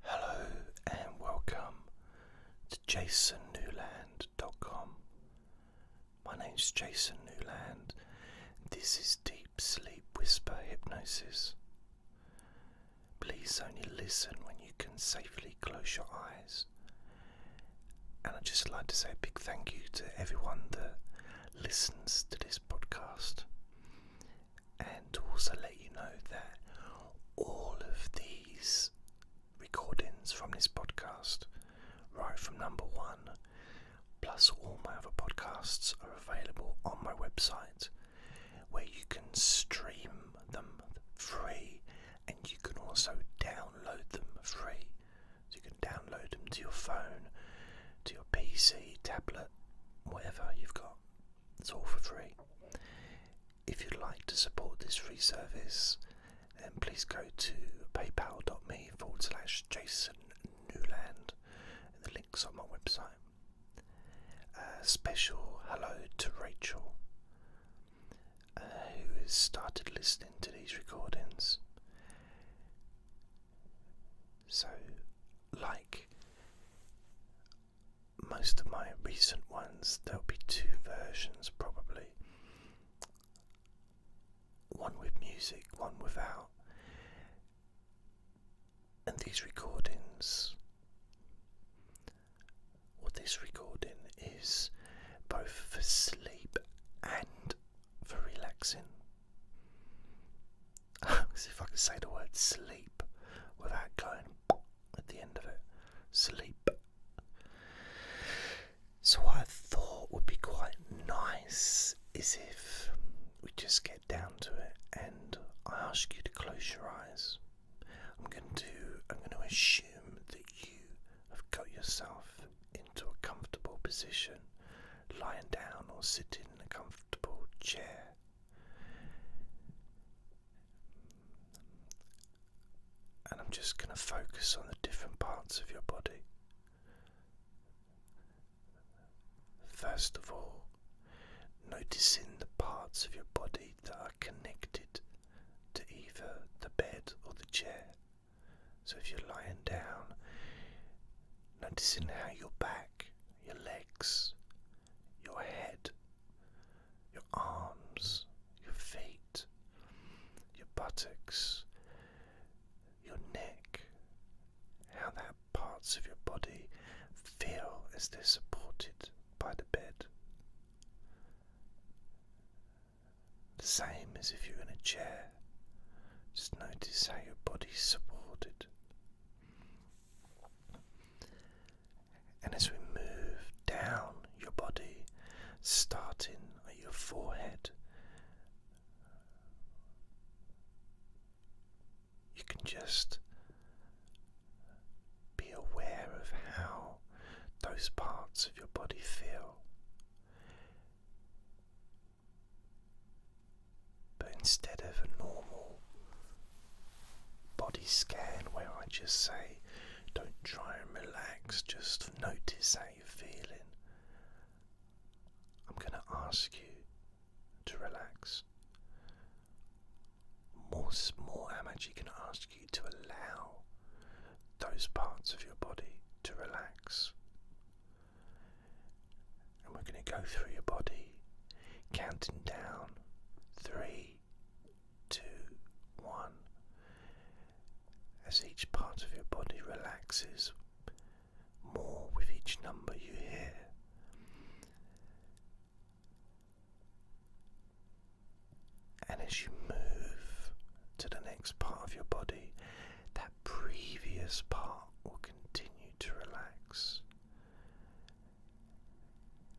Hello and welcome to jasonnewland.com. My name's Jason Newland. This is Deep Sleep Whisper Hypnosis. Please only listen when you can safely close your eyes. And I'd just like to say a big thank you to everyone that listens to this podcast and also let you know that all of these recordings from this podcast, right from number one, plus all my other podcasts, are available on my website where you can stream them free and you can also download them free. So you can download them to your phone, to your PC, tablet, whatever you've got. It's all for free. If you'd like to support this free service, then please go to paypal.me forward slash Jason Newland. the link's on my website. A uh, special hello to Rachel, uh, who has started listening to these recordings. So, like, most of my recent ones, there'll be two versions probably one with music, one without. And these recordings, well, this recording is both for sleep and for relaxing. See if I can say the word sleep without going at the end of it. Sleep. So, what I thought would be quite nice is if we just get down to it and I ask you to close your eyes. I'm going to, I'm going to assume that you have got yourself into a comfortable position, lying down or sitting in a comfortable chair. And I'm just going to focus on the different parts of your body. First of all, noticing the parts of your body that are connected to either the bed or the chair. So if you're lying down, noticing how your back, your legs, your head, your arms, your feet, your buttocks, your neck, how that parts of your body feel as they're supported by the bed. The same as if you're in a chair. Just notice how your body's supported. And as we move down your body, starting at your forehead, you can just be aware of how those parts of your body feel. But instead of a normal body scan where I just say, don't try and relax, just notice how you're feeling. I'm going to ask you to relax. More, more, I'm actually going to ask you to allow those parts of your body to relax. And we're going to go through your body, counting down three three, two, one. As each part of your body relaxes more with each number you hear. And as you move to the next part of your body, that previous part will continue to relax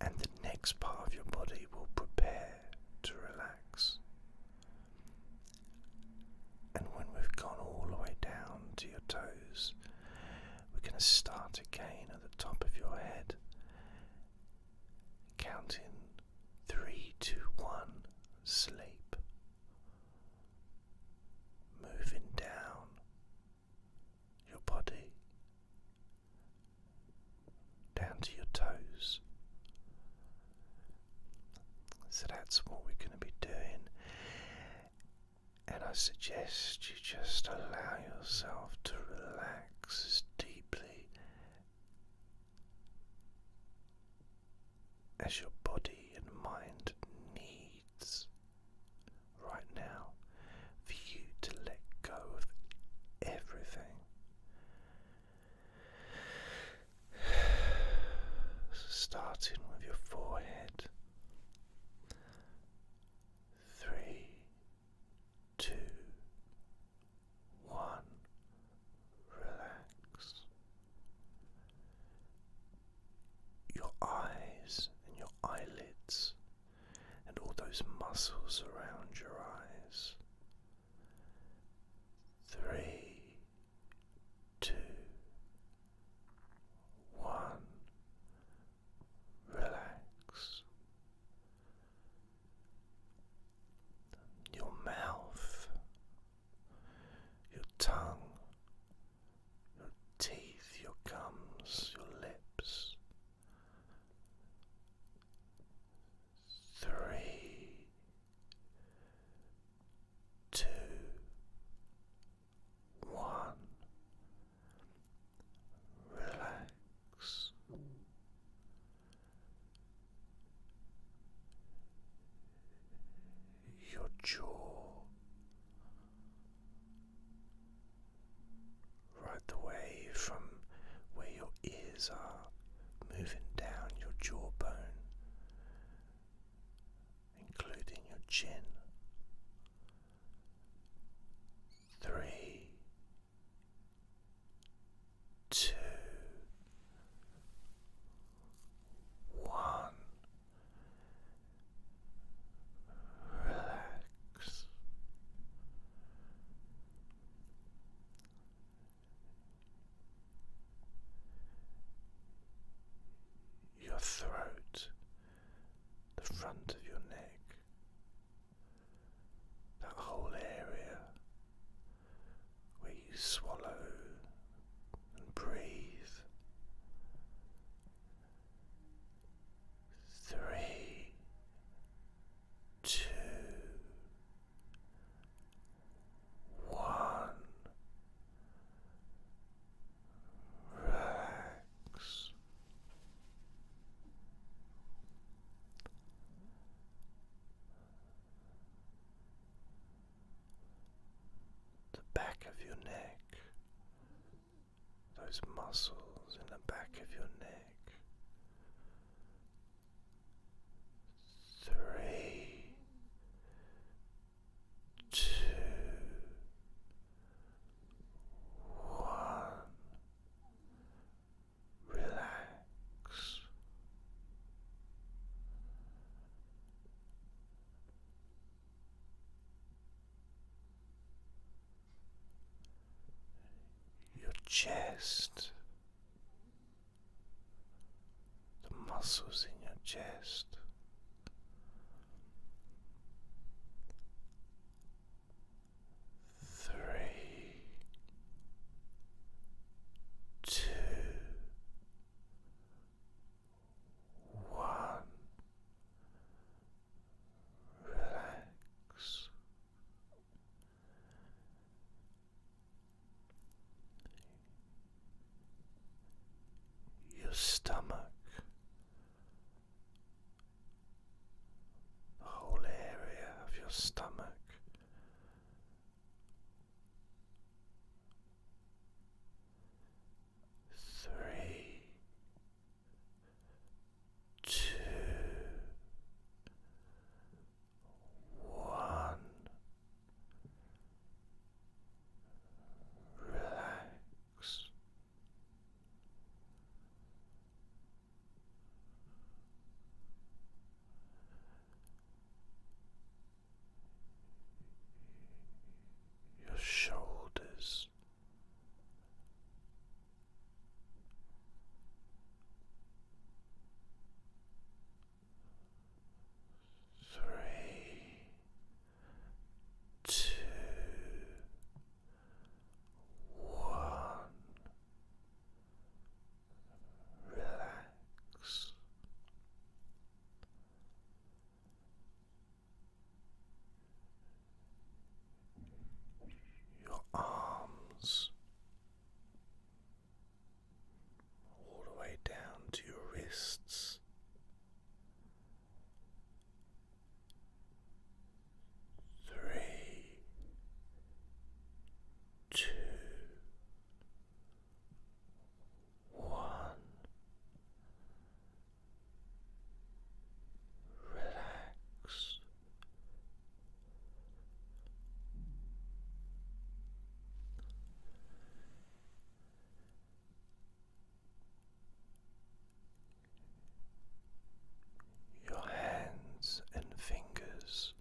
and the next part of your body will prepare to relax. And when we've gone all the way down to your toes, we're going to start again at the top of your head, counting three, two, one, sleep. Moving down your body down to your toes. So that's what we're going to be doing. And I suggest you just allow yourself to relax as deeply as your body and mind needs right now for you to let go of everything. Starting with your forehead. Three, two, one, relax. Your eyes and your eyelids and all those muscles around your eyes. Three, two, one, relax. Your mouth, your tongue, your teeth, your gums, your lips three, two, one. Relax. Your jaw, right the way from where your ears are, moving down your jawbone, including your chin. Three, two, one. Relax. Your throat, the front of your neck, that whole area where you swallow and breathe. Three two, one. Relax. The back of your neck those muscles in the back of your neck. Three, two, one, relax your chest, the muscles in your chest. Three, two, one, relax your stomach, the whole area of your stomach. Three, two, one. Relax. Your shoulders three, two, one. Relax your arms, all the way down to your wrists. Three, two, one. Relax. Your hands and fingers,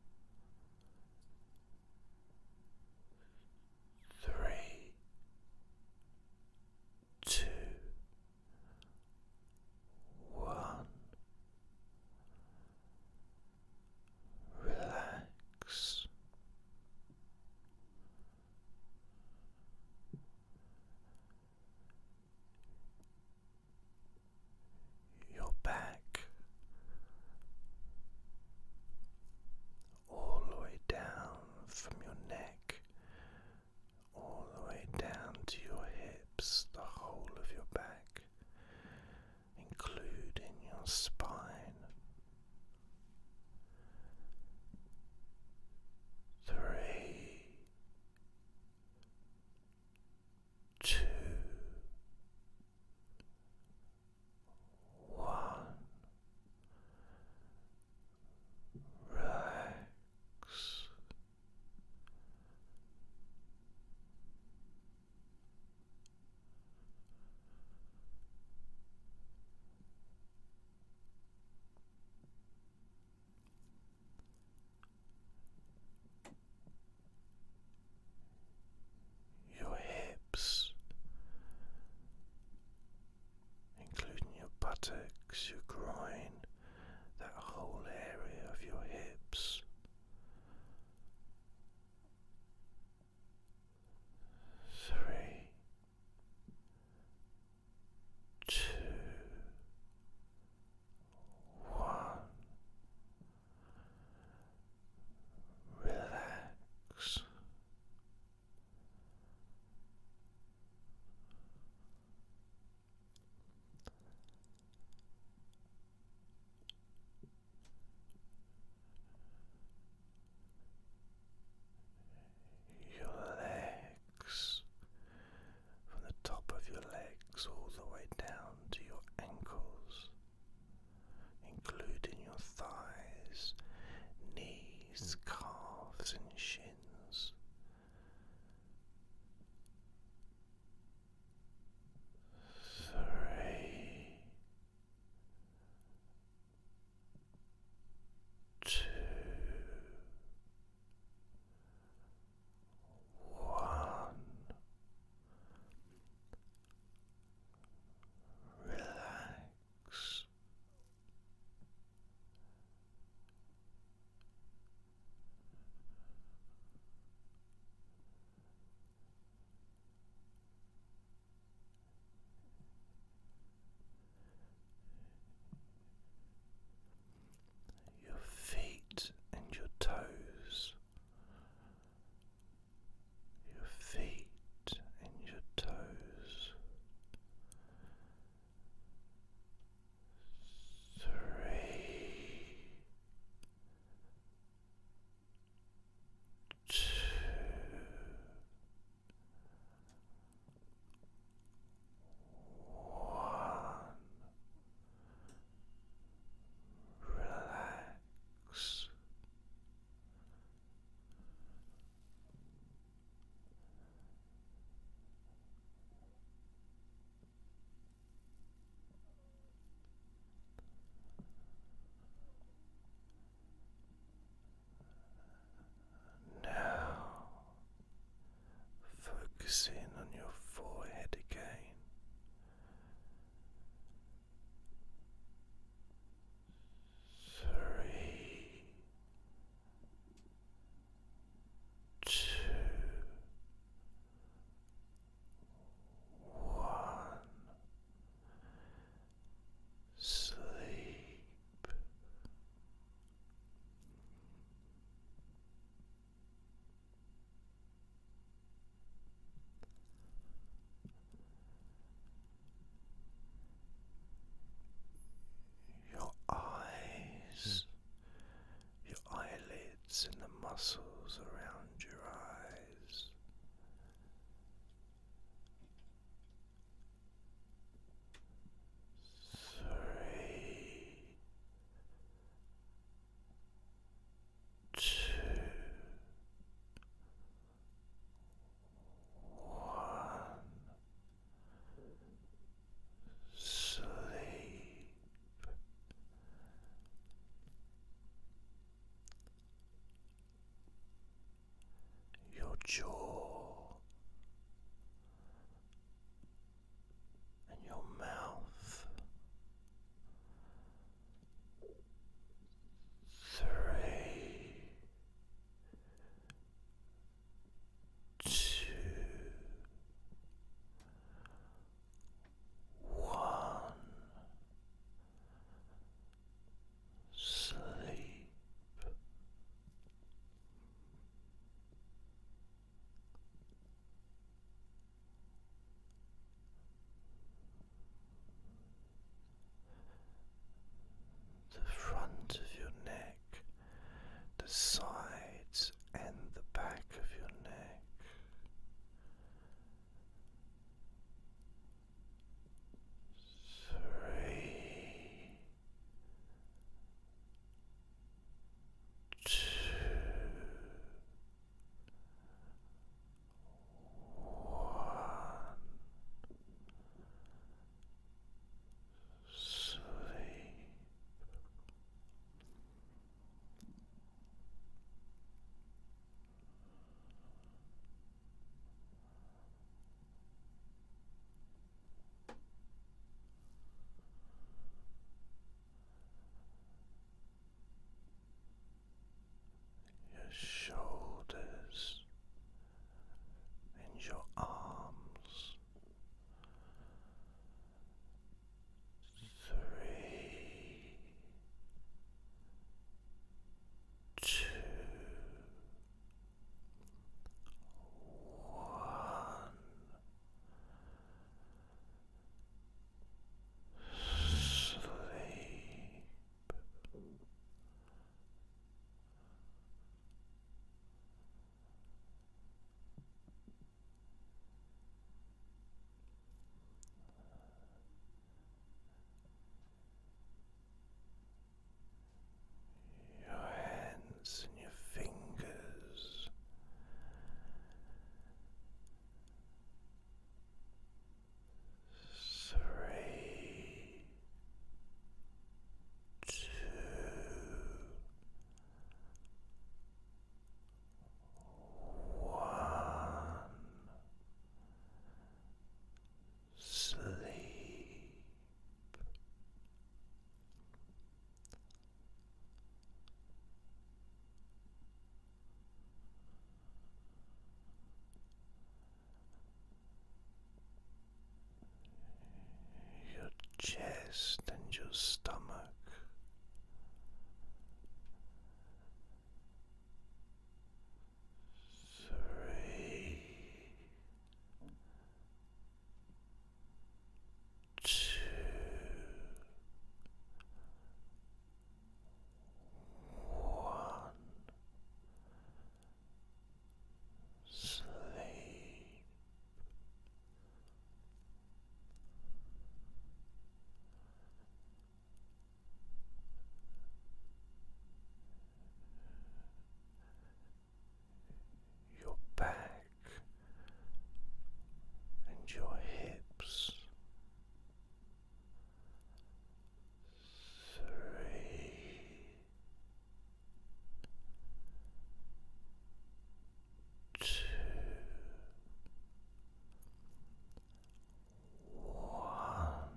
three, two, one. Relax. Your back all the way down from your neck all the way down to your hips, the whole of your back, including your spine. Three, two, one, relax. Your hips, including your buttocks, your groin, that whole area of your hips. Three, two, one. Relax. Your legs, from the top of your legs all the way down to your ankles, including your thighs, knees, calves, and shins three, two, one. Relax. Your feet and your toes, your feet and your toes, three, two, one. Relax. Now, focusing on your forehead again. Three, two, one sleep. Your eyes your eyelids and the muscles around your eyes. Three, two, one, sleep your jaw and your mouth three two one. Sleep. The front of your neck, the sides, and the back of your neck three, two, one, sleep. Your shoulders and your arms three, two, one. Sleep your hands and your fingers. Three, two, one sleep your chest and your stomach three, two, one. Sleep your back and your hips. Three, two, one.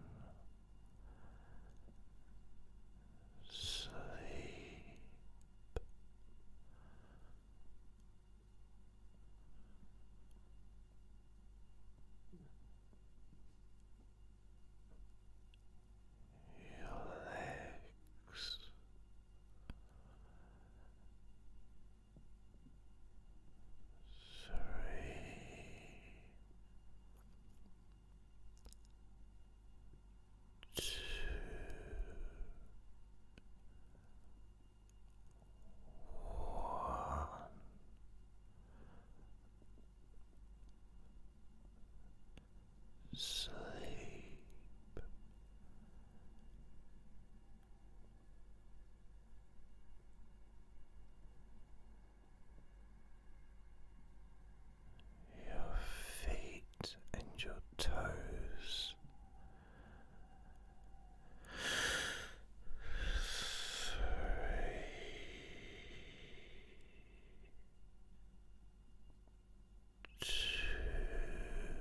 Sleep. Your legs Three, two, one. Sleep your feet and your toes three two